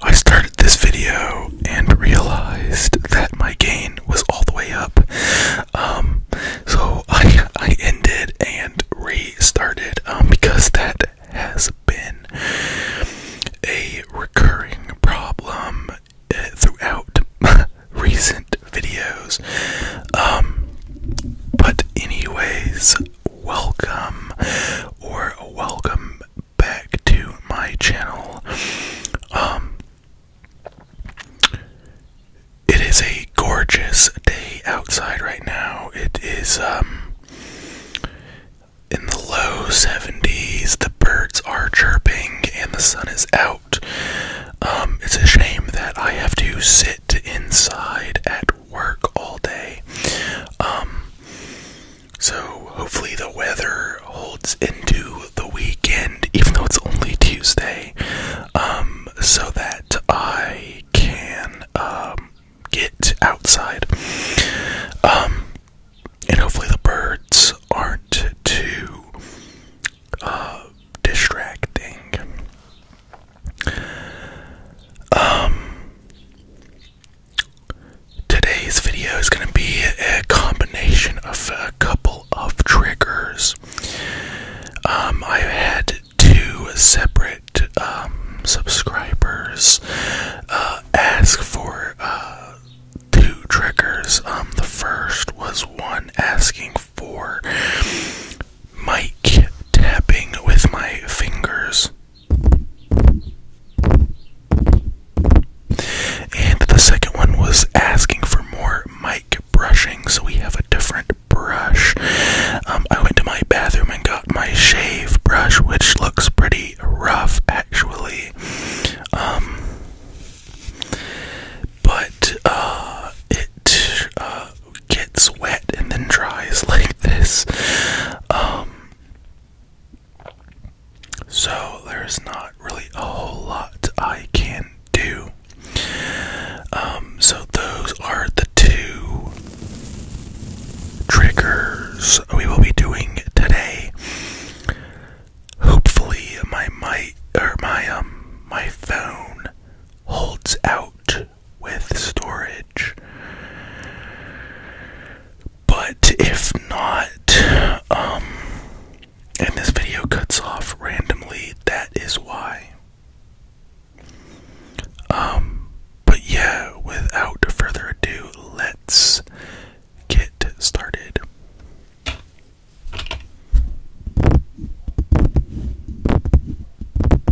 I started this video and realized that my gain was all the way up. Um, so I, I ended and restarted um, because that has been a recurring problem uh, throughout recent videos. Um, but, anyways, welcome or welcome back to my channel. Um, it is a gorgeous day outside right now. It is um, in the low 70s. The birds are chirping and the sun is out. Um, it's a shame that I have to sit inside at work all day. So hopefully the weather holds into the weekend, even though it's only Tuesday, um, so that I can um, get outside. Um, and hopefully the birds aren't too uh, distracting. Today's video is going to be a combination of a couple of triggers. Um, I had two separate um, subscribers uh, ask for uh, two triggers. Um, the first was one asking for mic tapping with my fingers. And the second one was asking for more mic brushing, so we have a different brush. Um, I went to my bathroom and got my shave brush, which looks pretty rough actually. Um, but uh, it uh, gets wet and then dries like this. Um, so there's not really a whole lot I can do. Um, so those are the two triggers we will be doing today. Hopefully my my or my um my phone holds out with storage. But if not, um, and this video cuts off randomly, that is why. Um, but yeah, without further ado, let's get started.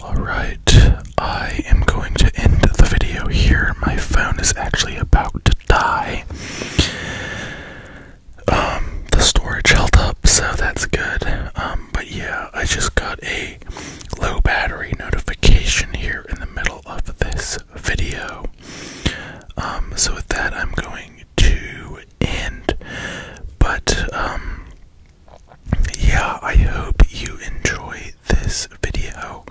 Alright, I am going to end the video here. My phone is actually about to die. Um, the storage held up, so that's good. Um, but yeah, I just got a low battery notification here in the middle of this video. Um, so with that, I'm going to end. But um, yeah, I hope you enjoy this video.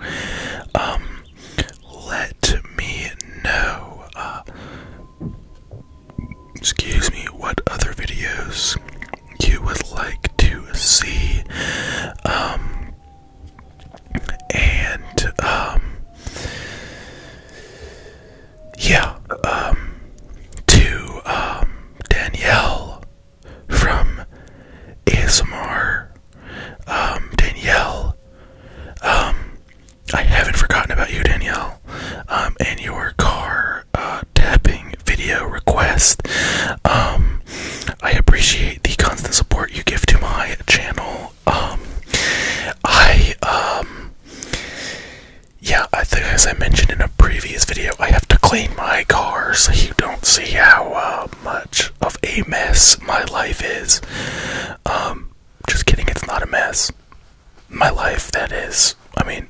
Um, let me know. Uh, excuse me, what other videos you would like to see? and um, yeah um, to um, Danielle from ASMR Danielle I haven't forgotten about you Danielle and your car uh, tapping video request I appreciate the constant support you give to my channel um, I, um, yeah, I as I mentioned in a previous video, I have to clean my car so you don't see how uh, much of a mess my life is. Um, just kidding, it's not a mess. My life, that is. I mean,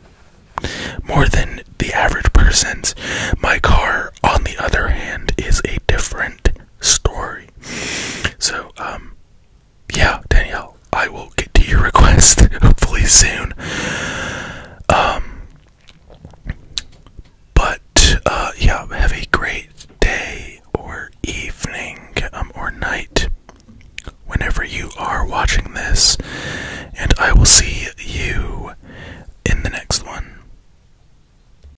more than the average person's. My car, on the other hand, is a different story. So, um, yeah, Danielle, I will get to your request hopefully soon. Um, but, uh, yeah, have a great day or evening, um, or night whenever you are watching this, and I will see you in the next one.